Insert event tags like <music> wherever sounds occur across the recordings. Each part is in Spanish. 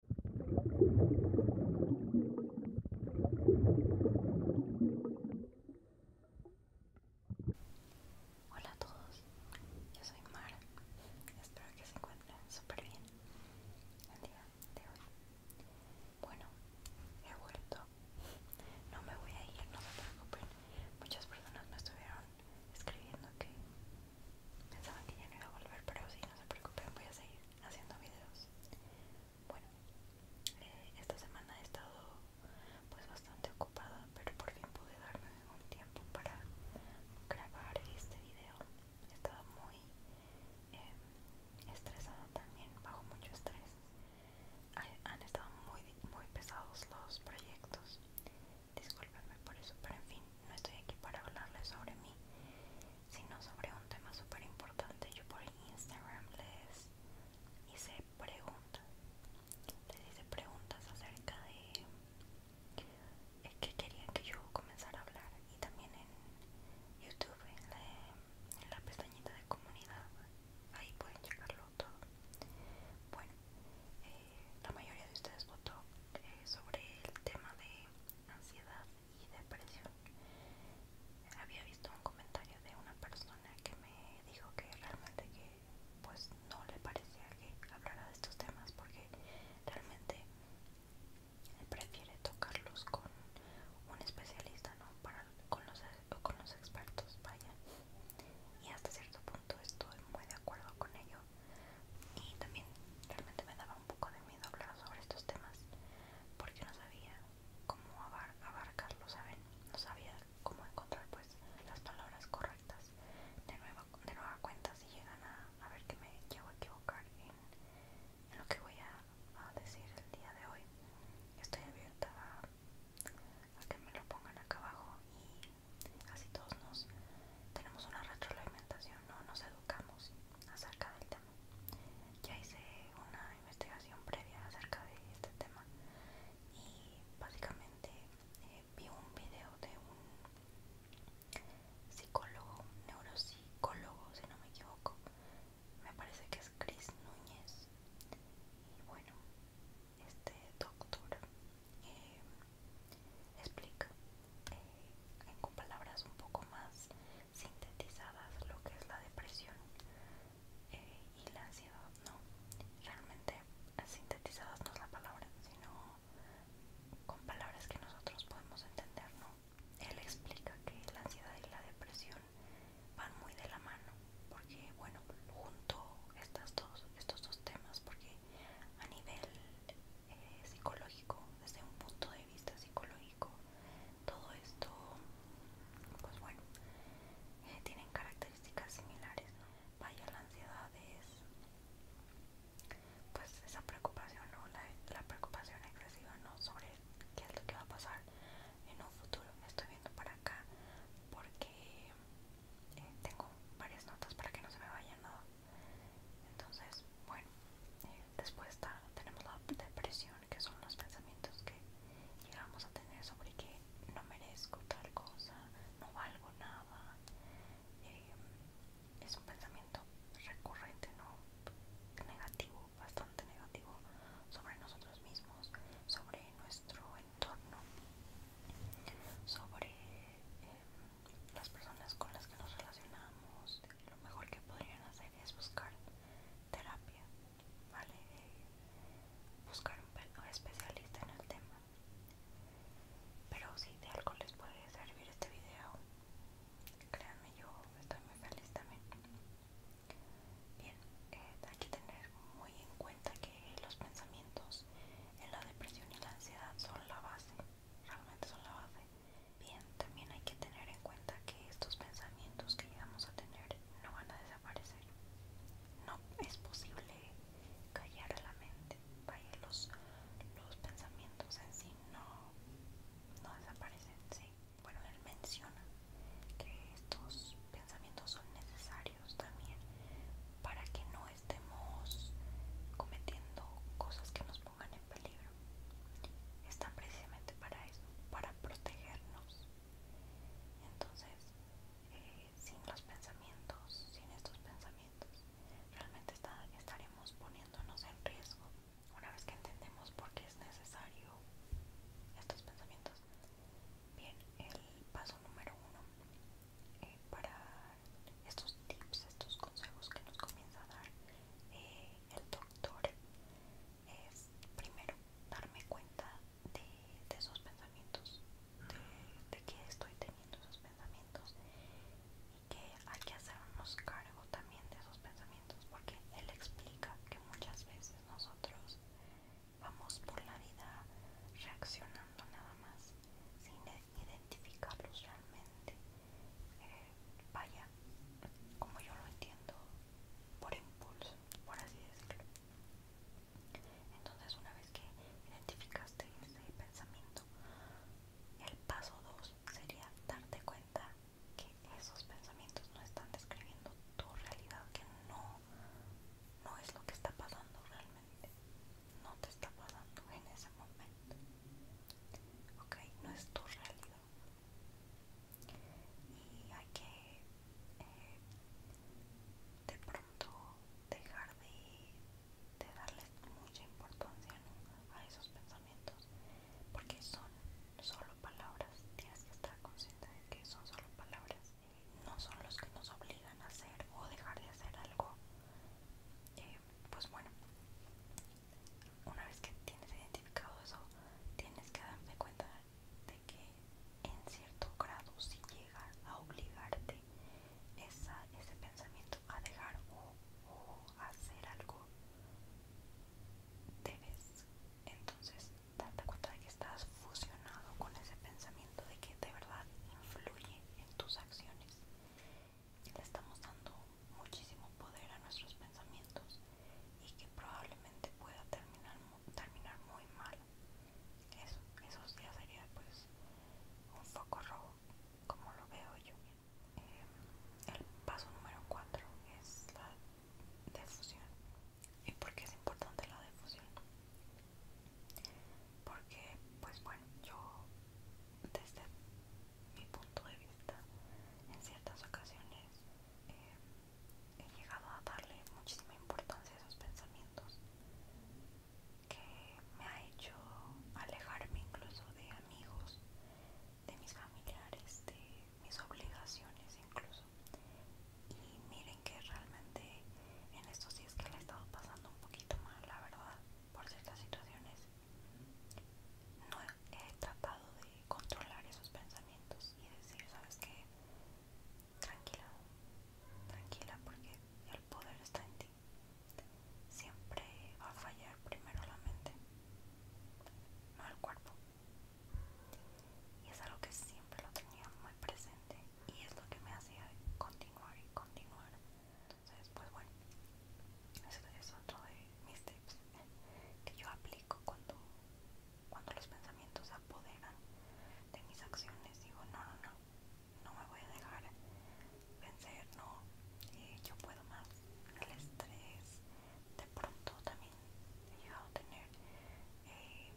Hola a todos, yo soy Mara, espero que se encuentren súper bien el día de hoy. Bueno, he vuelto, no me voy a ir, no se preocupen, muchas personas me estuvieron escribiendo que pensaban que ya no iba a volver, pero sí, no se preocupen, voy a seguir haciendo videos. Bueno, eh, esta semana he estado pues bastante ocupada, pero por fin pude darme un tiempo para grabar este video. He estado muy em, estresada también, bajo mucho estrés. han estado muy, muy pesados los proyectos. Disculpenme por eso, pero en fin, no estoy aquí para hablarles sobre mí, sino sobre un tema súper importante. Yo por Instagram les hice preguntas, les hice preguntas acerca de Qué que querían que yo comenzara a hablar y también en YouTube, en la, pestañita de comunidad, ahí pueden checarlo todo. Bueno, eh, la mayoría de ustedes votó eh, sobre el tema de ansiedad y depresión. Había visto un comentario de una persona que me dijo que realmente que pues no le parecía que hablara de estos temas porque realmente prefiere tocarlos con un especialista, ¿no? Para, con los expertos, vaya. Y hasta cierto punto estoy muy de acuerdo con ello. Y también realmente me daba un poco de miedo hablar sobre estos temas porque no sabía cómo abarcarlo, ¿saben? No sabía cómo encontrar pues las palabras correctas. De nueva, de nueva cuenta si llegan a, ver que me llevo a equivocar en, lo que voy a, decir el día de hoy. Estoy abierta a, que me lo pongan acá abajo y así todos nos tenemos una retroalimentación, ¿no? Nos educamos acerca del tema. Ya hice una investigación previa acerca de este tema y básicamente eh, vi un video de un psicólogo, neuropsicólogo si no me equivoco, me parece que es Cris Núñez y bueno, este doctor eh, explica con eh, palabras un poco más sintetizadas lo que es la depresión eh, y la ansiedad, ¿no? Realmente eh, sintetizadas no es la palabra, sino con palabras que nosotros podemos entender, ¿no? Él explica que la ansiedad y la depresión van muy de la mano, porque bueno, junto estas dos, estos dos temas, porque a nivel eh, psicológico, desde un punto de vista psicológico, todo esto, pues bueno, eh, tienen características similares. Vaya, la ansiedad es, pues esa preocupación, la, preocupación excesiva, ¿no? Sobre qué es lo que va a pasar en un futuro. Me estoy viendo para acá porque eh, tengo varias notas para que no se me vayan nada. Entonces, bueno, eh, después tenemos la depresión, que son los pensamientos que llegamos a tener sobre que no merezco tal cosa, no valgo nada. Eh, es un pensamiento recurrente, ¿no? Negativo, bastante negativo sobre nosotros mismos, sobre nuestro entorno, sobre eh, las personas con las que nos relacionamos, lo mejor que podrían hacer es buscar terapia, ¿vale? Eh, buscar un especialista en el tema. Pero si de algo les puede servir este video, créanme, yo estoy muy feliz también. Bien, eh, hay que tener muy en cuenta que los pensamientos en la depresión y la ansiedad son la base realmente son la base. Bien, también hay que tener en cuenta que estos pensamientos que llegamos a tener no van a desaparecer. No es posible callar la mente. Vaya, los, los pensamientos en sí no, no desaparecen, sí. Bueno, él menciona que estos pensamientos son necesarios también para que no estemos cometiendo cosas que nos pongan en peligro. Están precisamente para eso, para protegernos. Entonces, eh, sin los pensamientos, sin estos pensamientos, realmente estaremos poniéndonos en riesgo. Una vez que entendemos por qué es necesario estos pensamientos, bien, el paso número uno eh, para estos tips, estos consejos que nos comienza a dar eh, el doctor es primero darme cuenta de, esos pensamientos, de, de que estoy teniendo esos pensamientos y que hay que hacernos cargo también de esos pensamientos porque él explica que muchas veces nosotros vamos por la vida reaccionando nada más sin identificarlos realmente. Eh, vaya, como yo lo entiendo, por impulso, por así decirlo. Entonces, una vez que identificaste ese pensamiento, el paso 2 sería darte cuenta que esos pensamientos no están describiendo tu realidad, que no, no es lo que está pasando realmente, no te está pasando en ese momento ok, no es tu realidad y hay que eh, de pronto dejar de, de darles mucha importancia a esos pensamientos porque son solo palabras tienes que estar consciente de que son solo palabras no son los que nos obligan a hacer o dejar de hacer algo eh, pues bueno, una vez que tienes identificado eso, tienes que darte cuenta de que en cierto grado si llega a obligarte ese pensamiento a dejar o, o hacer algo, debes entonces darte cuenta de que estás fusionado con ese pensamiento de que de verdad influye en tus acciones le estamos dando muchísimo poder a nuestros pensamientos y que probablemente pueda terminar, muy mal. Eso, eso ya sería pues un foco rojo, como lo veo yo. Eh, el paso número 4 es la defusión ¿Y por es importante la defusión porque pues bueno yo desde mi punto de vista en ciertas ocasiones eh, he llegado a darle muchísima importancia a esos pensamientos que me ha hecho alejarme incluso de amigos de mis familiares de mis obligaciones incluso y miren que realmente en estos días que le he estado pasando un poquito mal la verdad por ciertas situaciones, no he tratado de controlar esos pensamientos y decir, ¿sabes qué? Tranquila, tranquila, porque el poder está en ti. Siempre va a fallar primero la mente, no el cuerpo. Y es algo que siempre lo tenía muy presente y es lo que me hacía continuar y continuar entonces pues bueno eso es otro de mis tips eh, que yo aplico cuando cuando los pensamientos apoderan de mis acciones digo no no no no me voy a dejar vencer no eh, yo puedo más el estrés de pronto también he llegado a tener eh,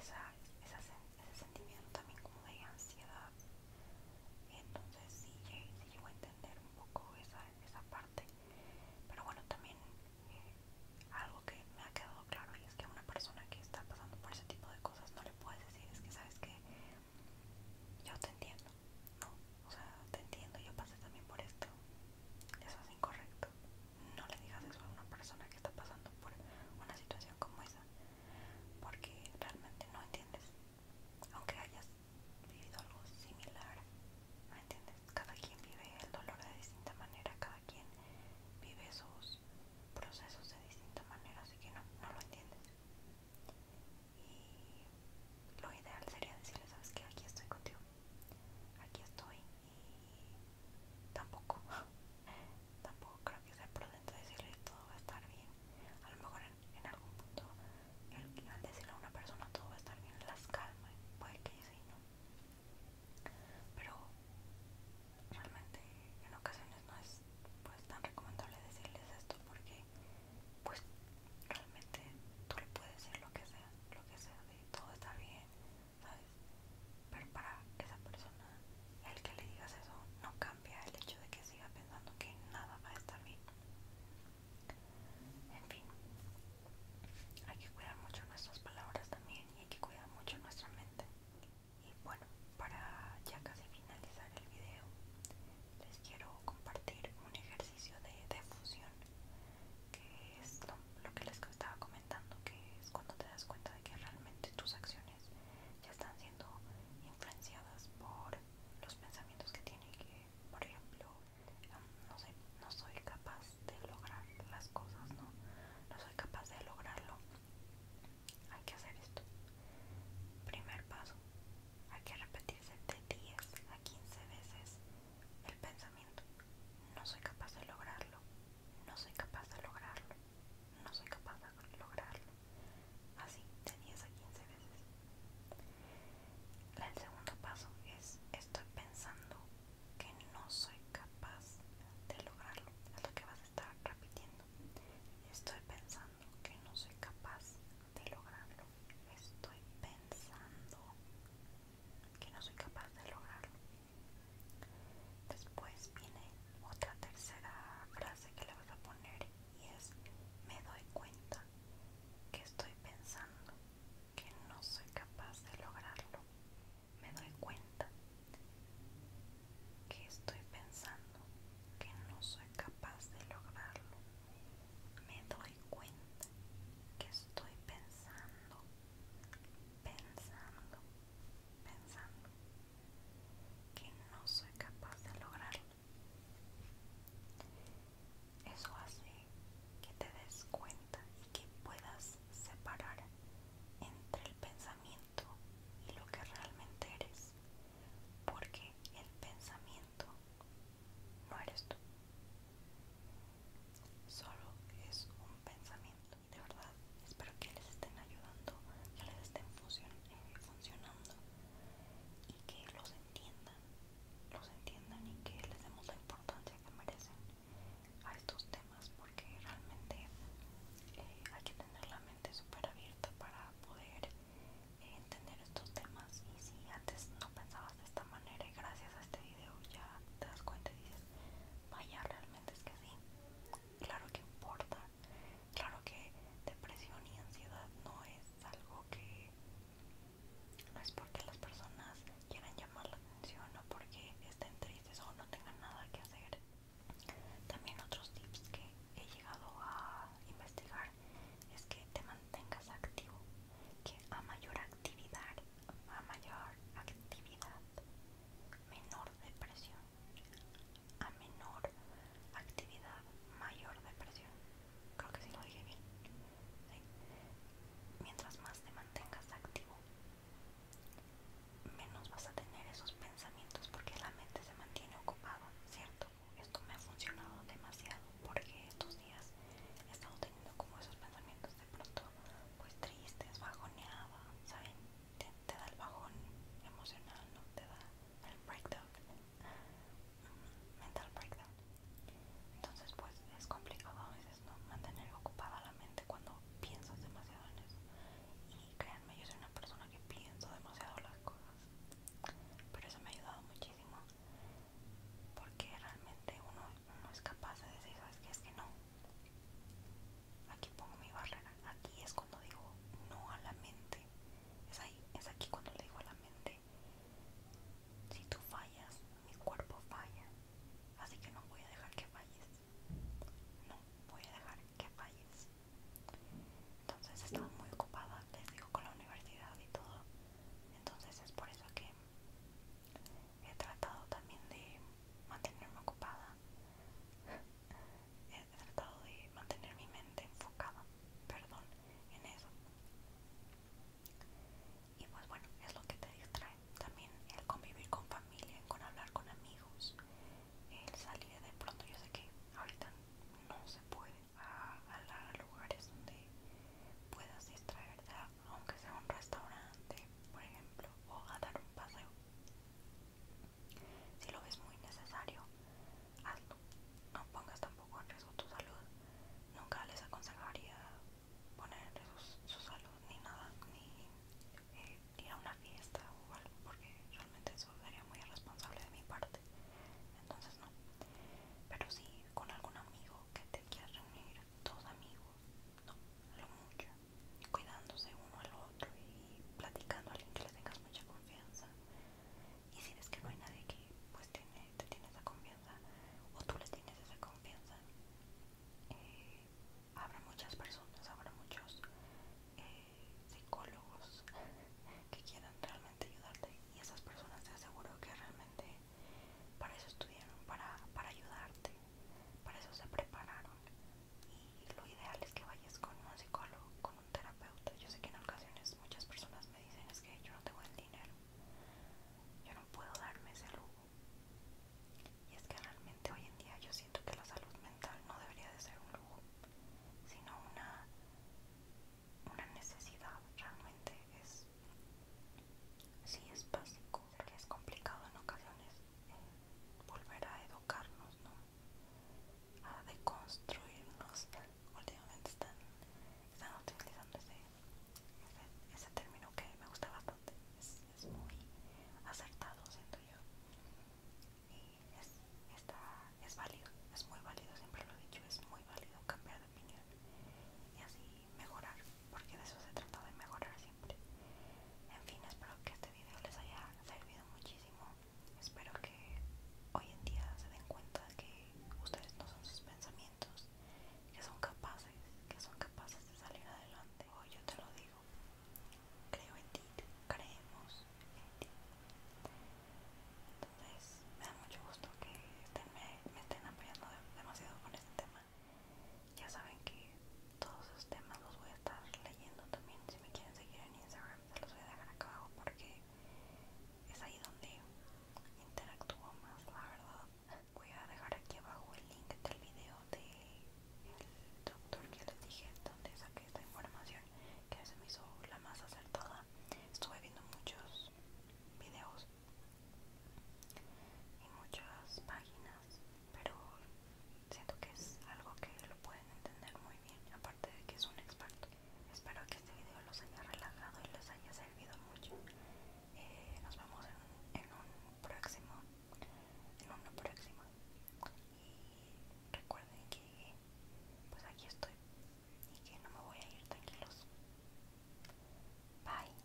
esa sensación ese sentimiento también como de ansiedad. Entonces sí, llego a entender un poco esa, esa parte. Pero bueno, también eh, algo que me ha quedado claro y es que a una persona que está pasando por ese tipo de cosas no le puedes decir, es que sabes que yo te entiendo, no, o sea, te entiendo, yo pasé también por esto. Eso es incorrecto. No le digas eso a una persona que está pasando por una situación como esa porque realmente no entiendes, aunque hayas vivido algo similar, ¿me entiendes? Cada quien vive el dolor de distinta manera, cada quien vive sus procesos de distinta manera, así que no, no lo entiendes. Y lo ideal sería decirle, sabes que aquí estoy contigo, aquí estoy y tampoco. <laughs> tampoco creo que sea prudente decirle todo va a estar bien. A lo mejor en, algún punto, al decirle a una persona todo va a estar bien, las calma, puede que sí, ¿no? Pero realmente en ocasiones no es pues tan recomendable decirles esto porque pues realmente tú le puedes decir lo que sea, lo que sea de todo está bien, ¿sabes? Pero para esa persona el que le digas eso no cambia el hecho de que siga pensando que nada va a estar bien. En fin, hay que cuidar mucho nuestras palabras también y hay que cuidar mucho nuestra mente. Y bueno, para ya casi finalizar el video, les quiero compartir un ejercicio de defusión, que es lo, lo que les estaba comentando, que es cuando te das cuenta que realmente tus acciones ya están siendo influenciadas por los pensamientos que tienen que, por ejemplo, no soy capaz de lograr las cosas, no, no soy capaz de lograrlo. Hay que hacer esto. Primer paso, hay que repetirse de 10 a 15 veces el pensamiento. No soy capaz de lograrlo no soy capaz de lograrlo, no soy capaz de lograrlo. Así, de 10 a 15 veces. El segundo paso es, estoy pensando que no soy capaz de lograrlo. Es lo que vas a estar repitiendo. Estoy pensando que no soy capaz de lograrlo. Estoy pensando que no soy capaz de lograrlo. Después viene otra tercera frase que le voy a poner y es me doy cuenta que estoy pensando que no soy capaz de lograrlo. Me doy cuenta que estoy pensando que no soy capaz de lograrlo. Me doy cuenta que estoy pensando, pensando, pensando que no soy capaz de lograrlo. Eso hace que te des cuenta y que puedas separar entre el pensamiento y lo que realmente eres, porque el pensamiento no eres tú, solo es un pensamiento de verdad espero que les estén ayudando que les estén eh, funcionando y que los entiendan los entiendan y que les demos la importancia que merecen a estos temas porque realmente eh, hay que tener la mente súper abierta para poder eh, entender estos temas y si antes no pensabas de esta manera y gracias a este video ya te das cuenta y dices vaya realmente es que sí claro que importa Claro que depresión y ansiedad no es algo que no es porque las personas quieran llamar la atención o porque estén tristes o no tengan nada que hacer. También otros tips que he llegado a investigar es que te mantengas activo, que a mayor actividad, a mayor actividad, menor depresión a menor actividad, mayor depresión. Creo que si lo dije bien. Mientras más te mantengas activo, menos vas a tener esos pensamientos porque la mente se mantiene ocupada, ¿cierto? Esto me ha funcionado demasiado porque estos días he estado teniendo como esos pensamientos de pronto pues tristes, bajoneaba, ¿saben? te da el bajón emocional, ¿no? Te da el breakdown, mm, mental breakdown. Entonces, pues es complicado a veces, ¿no? Mantener ocupada la mente cuando piensas demasiado en eso. Y créanme, yo soy una persona que pienso demasiado las cosas. Pero eso me ha ayudado muchísimo. Porque realmente uno, no es capaz de decir, ¿sabes Es que no, Aquí pongo mi barrera. Aquí es cuando digo no a la mente. Es ahí, es aquí cuando le digo a la mente. Si tú fallas, mi cuerpo falla. Así que no voy a dejar que falles. No voy a dejar que falles. Entonces estaba muy ocupada, les digo, con la universidad y todo. Entonces es por eso que he tratado también de mantenerme ocupada he tratado de mantener mi mente enfocada, perdón, en eso. Y pues bueno, es lo que te distrae. También el convivir con familia, con hablar con amigos, el salir de pronto. Yo sé que ahorita no se puede a, a, lugares donde puedas distraerte, aunque sea un restaurante, por ejemplo, o a dar un paseo. Si lo ves muy necesario, hazlo. No pongas tampoco en riesgo tu salud. Nunca les aconsejaría poner en riesgo su salud ni nada, ni eh, ir a una fiesta o algo, porque realmente eso sería muy irresponsable de mi parte. Entonces no. Pero si con algún amigo que te quieras reunir, dos amigos, no, lo mucho cuidándose uno al otro y platicando a alguien que le tengas mucha confianza y si ves que no hay nadie que pues tiene, te tiene esa confianza o tú le tienes esa confianza eh, habrá muchas personas, habrá muchos eh, psicólogos <laughs> que quieran realmente ayudarte y esas personas te aseguro que realmente para eso estudiaron, para, para ayudarte para eso se prepararon y lo ideal es que vayas con un psicólogo, con un terapeuta. Yo sé que en ocasiones muchas personas me dicen es que yo no tengo el dinero, yo no puedo darme ese lujo. Y es que realmente hoy en día yo siento que la salud mental no debería de ser un lujo, sino una, una necesidad. Realmente es, sí es básico, que es complicado en ocasiones volver a educarnos, ¿no? A deconstruirnos. Últimamente están, utilizando ese, ese, término que me gusta bastante. Es, muy acertado, siento yo. Y es, está, es válido, es muy válido, siempre lo he dicho, es muy válido cambiar de opinión y así mejorar, porque de eso se trata de mejorar en fin, espero que este video les haya servido muchísimo. Espero que hoy en día se den cuenta que ustedes no son sus pensamientos, que son capaces, que son capaces de salir adelante. Hoy yo te lo digo. Creo en ti, creemos en ti. Entonces, me da mucho gusto que me, estén apoyando demasiado con este tema. Ya saben que todos esos temas los voy a estar leyendo también. Si me quieren seguir en Instagram, se los voy a dejar acá abajo porque es ahí donde interactúo más, la verdad. Voy a dejar aquí abajo el link del video del doctor que les dije, donde saqué esta información que se me hizo la más acertada. Estuve viendo muchos videos y muchas páginas pero siento que es algo que lo pueden entender muy bien, aparte de que es un experto. Espero que este video los haya relajado y les haya servido mucho. Eh, nos vemos en, un próximo, en una próxima. Y recuerden que pues aquí estoy y que no me voy a ir tranquilos. Bye.